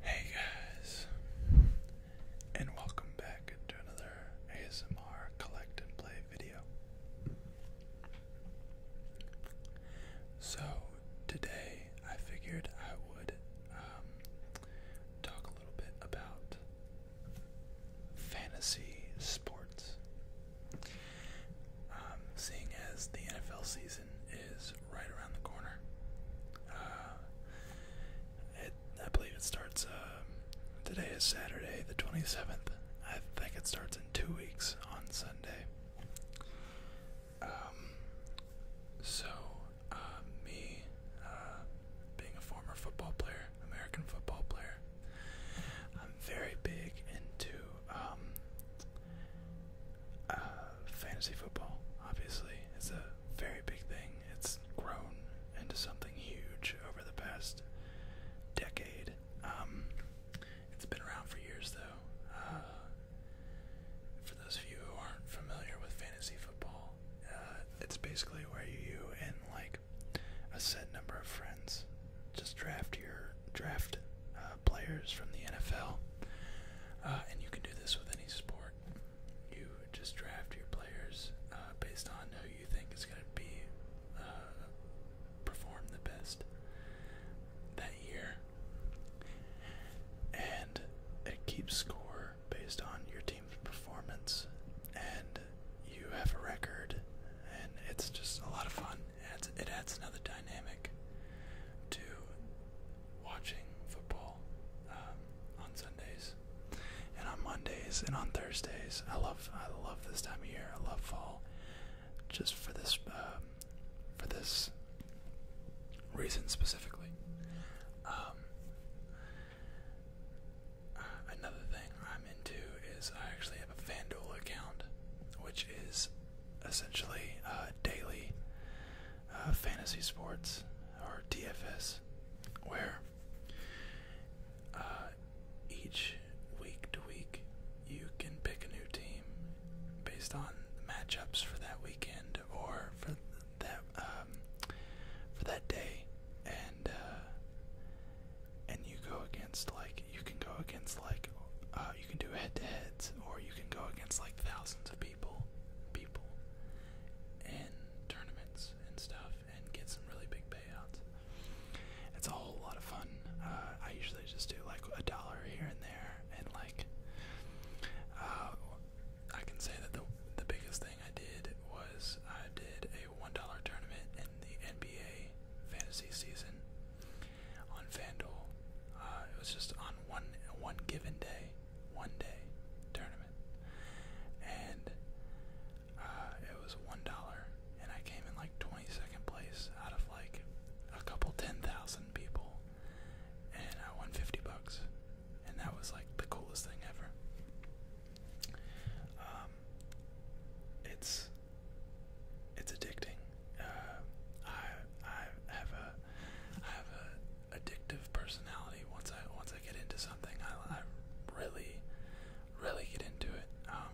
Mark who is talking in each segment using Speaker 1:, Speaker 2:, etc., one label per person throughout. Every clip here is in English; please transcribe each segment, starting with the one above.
Speaker 1: Hey guys, and welcome back to another ASMR collect and play video. So, today I figured I would um, talk a little bit about fantasy sports. Um, seeing as the NFL season is right around the corner. Uh, I believe it starts. Uh, today is Saturday, the 27th. I think it starts in two weeks on Sunday. Um, so, uh, me, being a former football player, American football player, I'm very big into um, uh, fantasy football, obviously, is a very big thing. It's grown into something huge over the past decade. Um, it's been around for years, though. Uh, for those of you who aren't familiar with fantasy football, uh, it's basically where you and like a set number of friends just draft your draft uh, uh, players from the NFL. Uh, and you can do this with any sport. You just draft your players uh, based on who you think is going to be uh, perform the best that year, and it keeps score based on your team's performance. And you have a record, and it's just a lot of fun adds, it adds another dynamic to watching football um, on Sundays and on Mondays and on Thursdays. I love I love this time of year. I love fall just for this uh, for this reason specifically. Um, another thing I'm into is I actually have a FanDuel account, which is essentially uh, daily uh, fantasy sports or DFS, where uh, each week to week you can pick a new team based on matchups for that weekend or for that um, for that day, and and you go against like you can go against like you can do head-to-heads, or you can go against like thousands of people, people, in tournaments and stuff, and get some really big payouts. It's a whole lot of fun. Uh, I usually just do like a dollar here and there, and like, uh, I can say that the the biggest thing I did was I did a one dollar tournament in the NBA fantasy season on FanDuel. Uh, it was just on one one given day, one day tournament, and uh, it was one dollar, and I came in like twenty second place out of like a couple ten thousand people, and I won fifty bucks, and that was like the coolest thing ever. Um, it's it's addicting. Uh, I I have a I have a addictive personality. Once I once I get into something, I, I really really get into it. Um,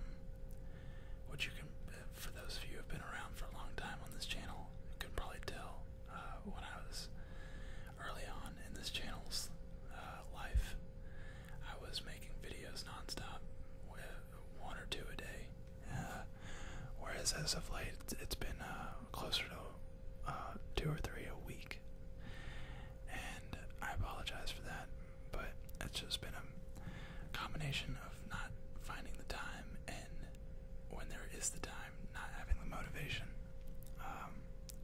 Speaker 1: which you can, for those of you who've been around for a long time on this channel, you can probably tell uh, when I was early on in this channel's uh, life, I was making videos nonstop. With, one or two a day. Uh, whereas as of late, it's been uh, closer to uh, two or three a week. And I apologize for that, but it's just been a combination of not finding the time and when there is the time, not having the motivation. Um,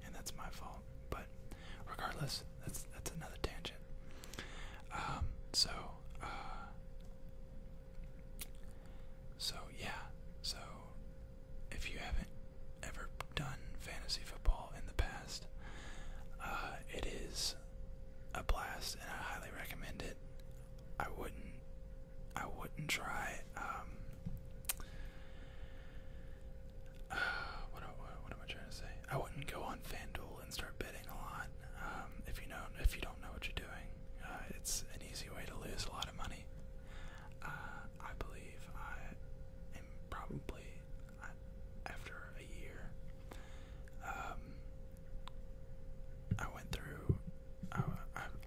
Speaker 1: and that's my fault. But regardless, that's that's another tangent. Um, so so, yeah, so if you haven't ever done fantasy football in the past, uh, it is a blast and I highly recommend it. I wouldn't, I wouldn't try, um, uh, what am I trying to say? I wouldn't go on FanDuel and start betting a lot. Um, if you know, if you don't know what you're doing, uh, it's an easy way to lose a lot of money. Uh, I believe I am probably I, uh, after a year. Um, I went through.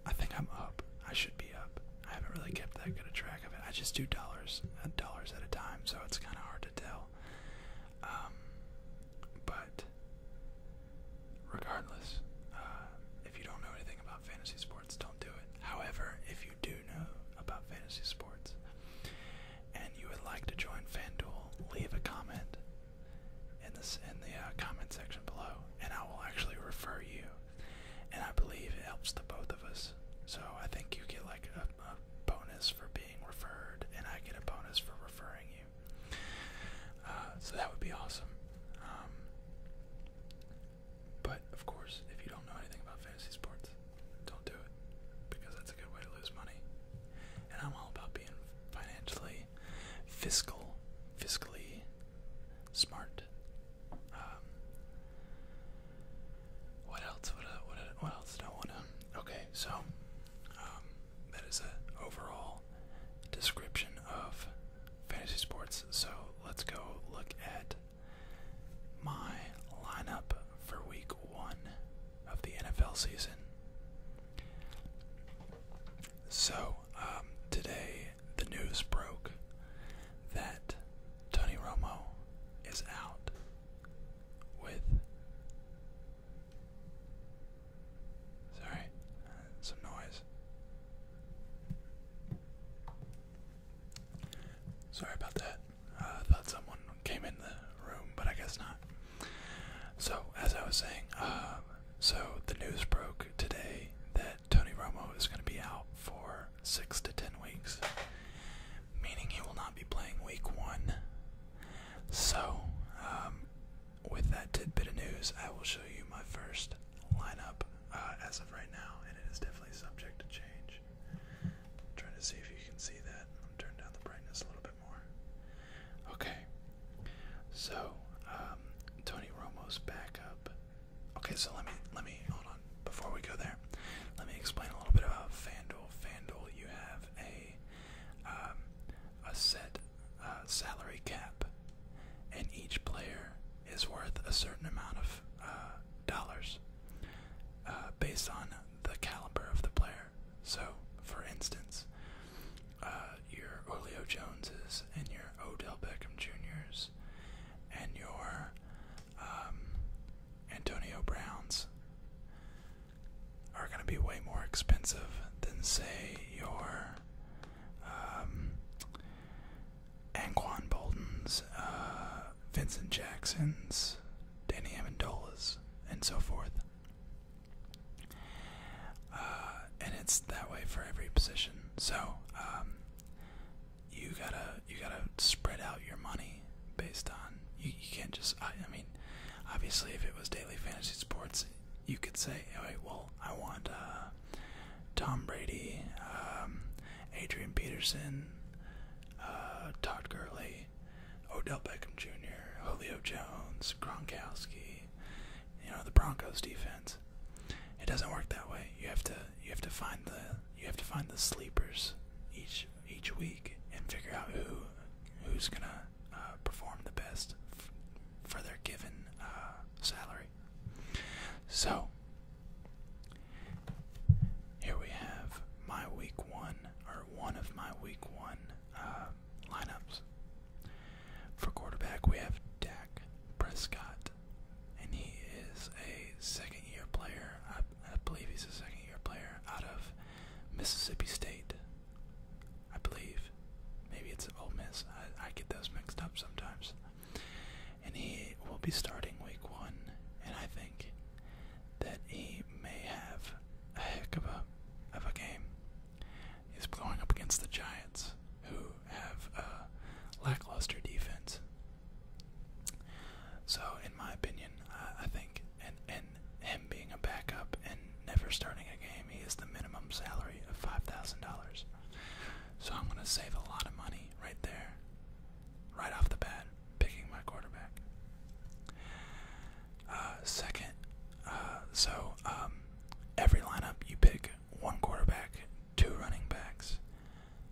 Speaker 1: I, think I'm up. I should be up. I haven't really kept that good a track of it. I just do dollars, dollars at a time, so it's kind of hard to tell. Um, but regardless, uh, if you don't know anything about fantasy sports, don't do it. However, if you do know about fantasy sports and you would like to join FanDuel, leave a comment in this in the uh, comment section below, and I will actually refer you. And I believe it helps the both of us. So I think you get like a bonus for being referred, and I get a bonus for referring you. Uh, so that would be awesome. Um, but of course, if you don't know anything about fantasy sports, don't do it because that's a good way to lose money. And I'm all about being financially, fiscal, fiscally smart. Um, what else? Uh, uh, what, else do I want to? Okay, so um, that is an overall description of fantasy sports. So let's go look at my lineup for week one of the NFL season. So, um, today the news broke that Tony Romo is out with Sorry, uh, some noise. Sorry about that. I thought someone came in the room, but I guess not. So, as I was saying, uh, so the news broke today that Tony Romo is going to be out for six to ten weeks, meaning he will not be playing week one. So, um, with that tidbit of news, I will show you my first lineup uh, as of right now, and it is definitely subject to change. trying to see if you can see that. I'm turning down the brightness a little bit more. Okay, so um, Tony Romo's backup. Okay, so let me let me hold on before we go there. Let me explain a little bit about FanDuel. FanDuel, you have a um, a set uh, salary cap, and each player is worth a certain amount of uh, dollars uh, based on the caliber of the player. So, for instance, your Julio Joneses and your Odell Beckham Juniors and your um, Antonio Browns are going to be way more expensive than, say, your um, Anquan Bolton's, uh, Vincent Jackson's, Danny Amendola's, and so forth. Uh, and it's that way for every position. So um, you gotta you gotta spread out your money based on you, you can't just I, I mean obviously if it was daily fantasy sports you could say, wait, well, I want uh, Tom Brady, um, Adrian Peterson, uh, Todd Gurley, Odell Beckham Jr., Julio Jones, Gronkowski, you know the Broncos defense. It doesn't work that way. You have to you have to find the you have to find the sleepers each each week and figure out who who's gonna uh, perform the best for their given uh, salary. So, here we have my week one, or one of my week one uh, lineups. For quarterback, we have Dak Prescott, and he is a second year player. I believe he's a second year player out of Mississippi State. I believe. Maybe it's Ole Miss. I, get those mixed up sometimes. And he will be starting week one, and I think that he may have a heck of a of a game. He's going up against the Giants, who have a lackluster defense. So, in my opinion, I think and him being a backup and never starting a game, he is the minimum salary of five thousand dollars. So I'm gonna save a lot of money right there, right off the bat, picking my quarterback. Uh, second, uh, so um, every lineup you pick one quarterback, two running backs,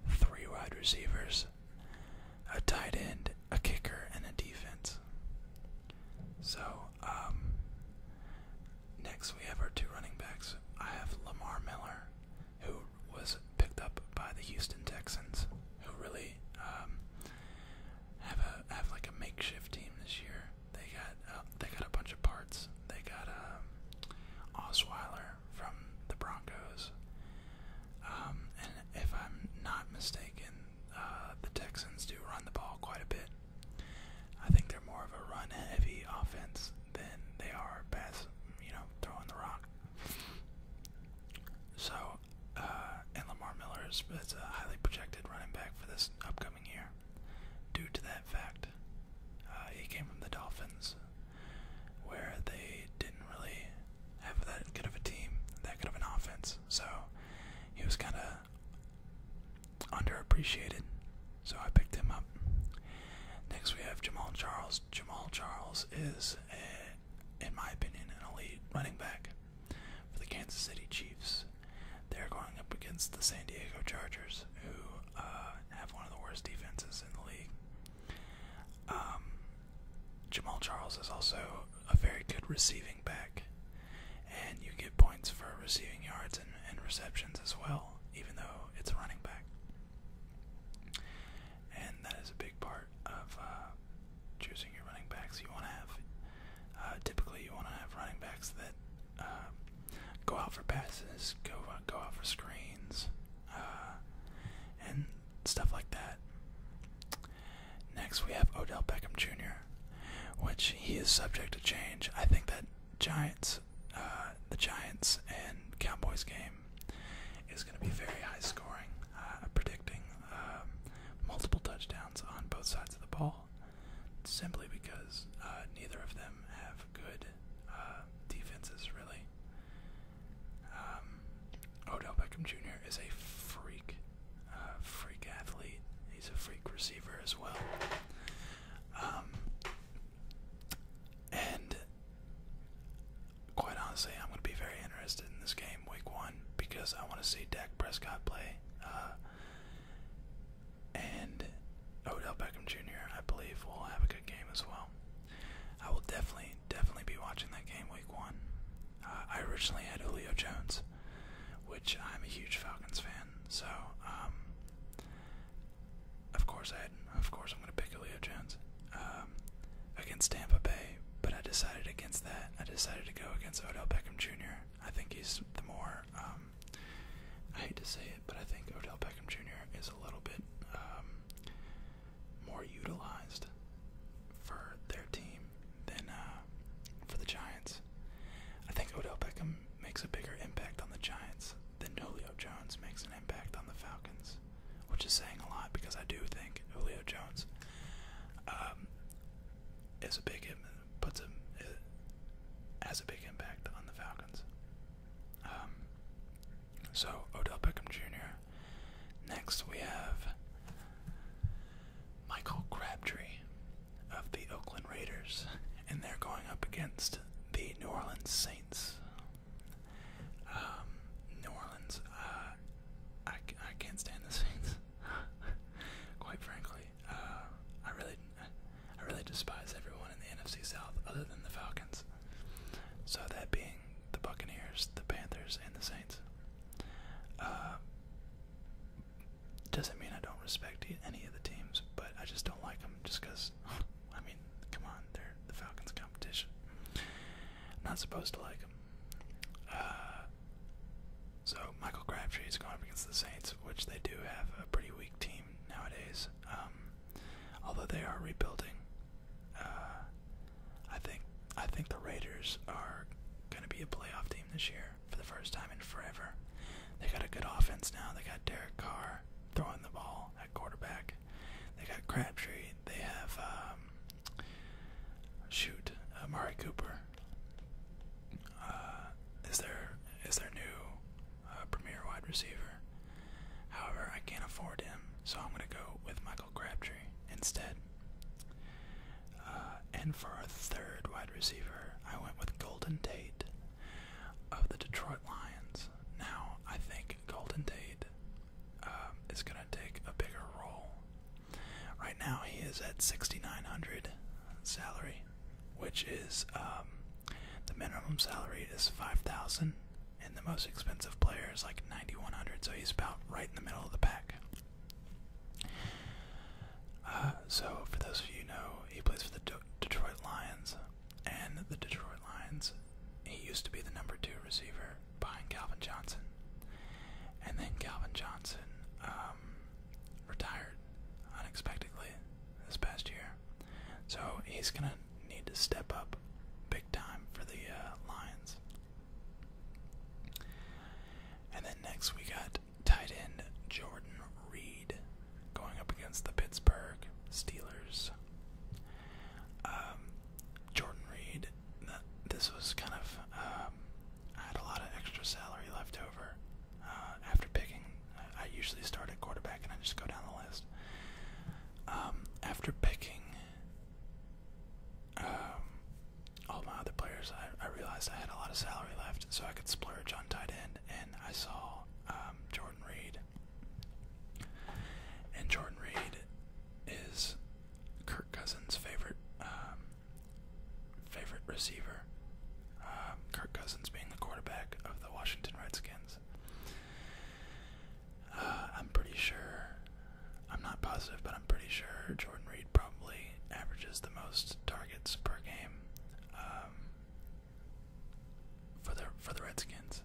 Speaker 1: three wide receivers, a tight end, a kicker, and a defense. So, um, next we have our two running backs. I have Lamar Miller, who was picked up by the Houston Texans, who really um, have a have like a makeshift team this year. They got uh, they got a bunch of parts. They got um, Osweiler from the Broncos, um, and if I'm not mistaken, uh, the Texans do run the ball quite a bit. I think they're more of a run-heavy offense than they are pass, you know, throwing the rock. So, uh, and Lamar Miller is, is a highly projected running back for this upcoming year. Due to that fact, uh, he came from the Dolphins, where they didn't really have that good of a team, that good of an offense. So he was kind of underappreciated, so I picked him up. Next, we have Jamal Charles. Jamal Charles is, in my opinion, an elite running back for the Kansas City Chiefs. They're going up against the San Diego Chargers, who uh, have one of the worst defenses in the league. Um, Jamal Charles is also a very good receiving back, and you get points for receiving yards and, and receptions as well, even though it's a running back. And that is a big part of uh, choosing your running backs. You want to have, uh, typically, you want to have running backs that uh, go out for passes, go uh, go out for screens, uh, and stuff like that. Next, we have Odell Beckham Jr., which he is subject to change. I think that Giants, uh, the Giants and Cowboys game is going to be very high scoring. Uh, predicting um, multiple touchdowns on both sides of the ball, simply because uh, neither of them have good defenses really. Um, Odell Beckham Jr. is a freak uh, freak athlete. He's a freak receiver as well. Um, and quite honestly, I'm going to be very interested in this game, week one, because I want to see Dak Prescott play. Uh, and Odell Beckham Jr., I believe, will have a good game as well. I will definitely, definitely be watching that game week one. Uh, I originally had Julio Jones, which I'm a huge Falcons fan. So, um, of course, I of course I'm going to pick Julio Jones um, against Tampa Bay. But I decided against that. I decided to go against Odell Beckham Jr. I think he's the more. Um, I hate to say it, but I think Odell Beckham Jr. is a little bit um, more utilized for their team than uh, for the Giants. I think Odell Beckham makes a bigger impact on the Giants than Julio Jones makes an impact on the Falcons, which is saying a lot because I do think Julio Jones um, is a big puts him has a big impact on the Falcons. Um, so Odell Beckham Jr. Next we have Michael Crabtree of the Oakland Raiders, and they're going up against the New Orleans Saints. Um, New Orleans, uh, I, I can't stand the Saints, quite frankly. Uh, I really, I really despise everyone in the NFC South other than the Falcons. So that being the Buccaneers, the Panthers, and the Saints. Uh, doesn't mean I don't respect any of the teams, but I just don't like them just because, I mean, come on, they're the Falcons' competition. not supposed to like them. Uh, so Michael Crabtree is going up against the Saints, which they do have a pretty weak team nowadays. Um, although they are rebuilding, uh, I think I think the Raiders are going to be a playoff team this year for the first time in forever. They got a good offense now. They got Derek Carr throwing the ball at quarterback. They got Crabtree. They have um, shoot uh, Cooper. is their is new uh, premier wide receiver? However, I can't afford him, so I'm gonna go with Michael Crabtree instead. Uh, and for our third wide receiver, I went with Golden Tate of the Detroit Lions. Now, I think Golden Tate uh, is going to take a bigger role. Right now, he is at 6,900 salary, which is um, the minimum salary is 5,000, and the most expensive player is like 9,100, so he's about right in the middle of the pack. Uh, so, for those of you who know, he plays for the Detroit Lions, and the Detroit Lions, he used to be the number two receiver behind Calvin Johnson. And then Calvin Johnson um, retired unexpectedly this past year. So he's going to need to step up big time for the uh, Lions. And then next we got tight end Jordan Reed going up against the Pittsburgh Steelers. Um, Jordan Reed, this was kind of, um, I had a lot of extra salary left over uh, after picking. I usually start at quarterback and I just go down the list. Um, after picking all my other players, I, realized I had a lot of salary left, so I could splurge on tight end. And I saw um, Jordan Reed, and Jordan Reed is Kirk Cousins' favorite um, favorite receiver. Um, Kirk Cousins being the quarterback of the Washington Redskins. Uh, I'm pretty sure. I'm not positive, but I'm pretty sure Jordan Reed probably averages the most targets per game um, for the for the Redskins,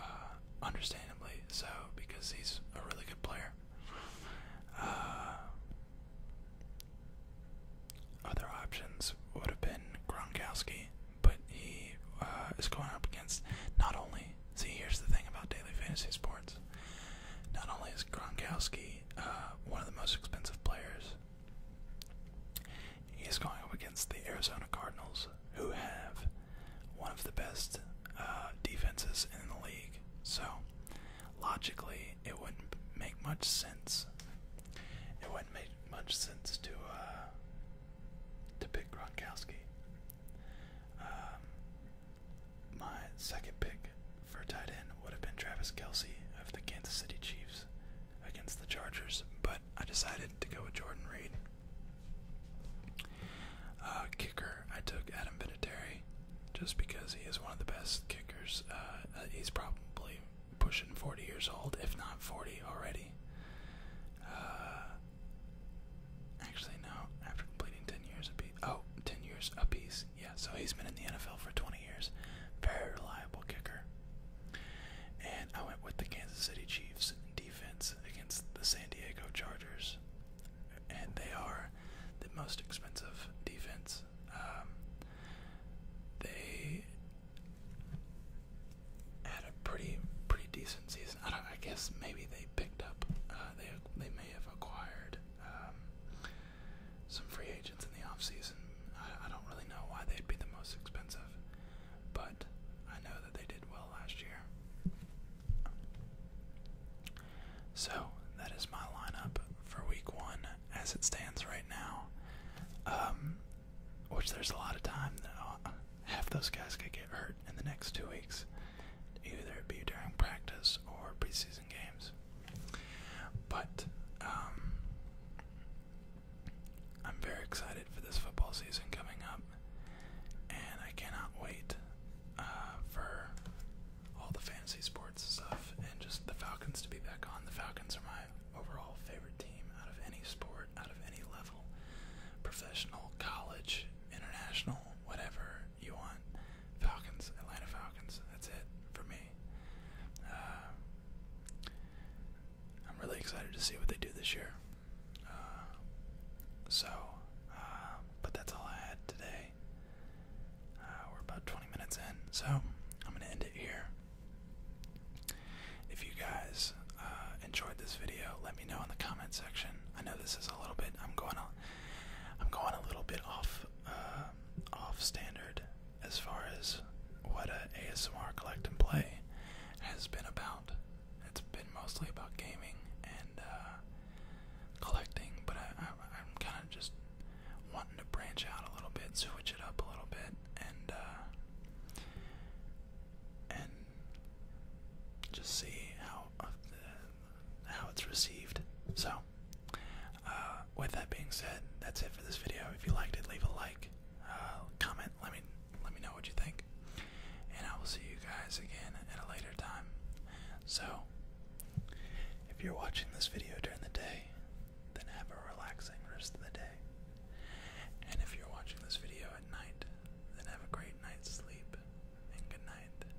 Speaker 1: uh, understandably so because he's a really good player. Uh, other options would have been Gronkowski, but he uh, is going up against not only. See, here's the thing about daily fantasy sports. Not only is Gronkowski uh, one of the most expensive players, he's going up against the Arizona Cardinals, who have one of the best uh, defenses in the league. So, logically, it wouldn't make much sense. It wouldn't make much sense to uh, to pick Gronkowski. Um, my second pick for tight end would have been Travis Kelce of the Kansas City Chiefs against the Chargers, but I decided to go with Jordan Reed. Uh, kicker, I took Adam Vinatieri just because he is one of the best kickers. Uh, he's probably pushing 40 years old, if not 40 already. Uh, actually, no, after completing 10 years apiece. Oh, 10 years apiece, yeah, so he's been in the NFL for 20 years. Very reliable kicker. And I went with the Kansas City Chiefs defense against the San Diego Chargers. And they are the most expensive defense. Um, they had a pretty pretty decent season. I, guess maybe they picked up. Uh, they they may have acquired um, some free agents in the offseason. I, I don't really know why they'd be the most expensive, but I know that they did well last year. So that is my lineup for week one as it stands right now. Um, which there's a lot of time that I'll, uh, half those guys could get hurt in the next two weeks, either it be during practice or preseason games. But um, I'm very excited for this football season coming up, and I cannot wait uh, for all the fantasy sports stuff and just the Falcons to be back on. The Falcons are my overall favorite team out of any sport, out of any level professional, college, international, whatever you want. Falcons, Atlanta Falcons. That's it for me. Uh, I'm really excited to see what they do this year. Uh, so, uh, but that's all I had today. we're about 20 minutes in, so I'm going to end it here. If you guys enjoyed this video, let me know in the comment section. I know this is a little bit, I'm going on, I'm going a little bit off uh, off standard as far as what a ASMR collect and play has been about. It's been mostly about gaming and uh, collecting, but I, am kind of just wanting to branch out a little bit, switch it up a little bit, and uh, and just see how how it's received. So uh, with that being said, that's it for this video. If you liked it, leave a like, uh, comment. Let me let me know what you think, and I will see you guys again at a later time. So, if you're watching this video during the day, then have a relaxing rest of the day. And if you're watching this video at night, then have a great night's sleep and good night.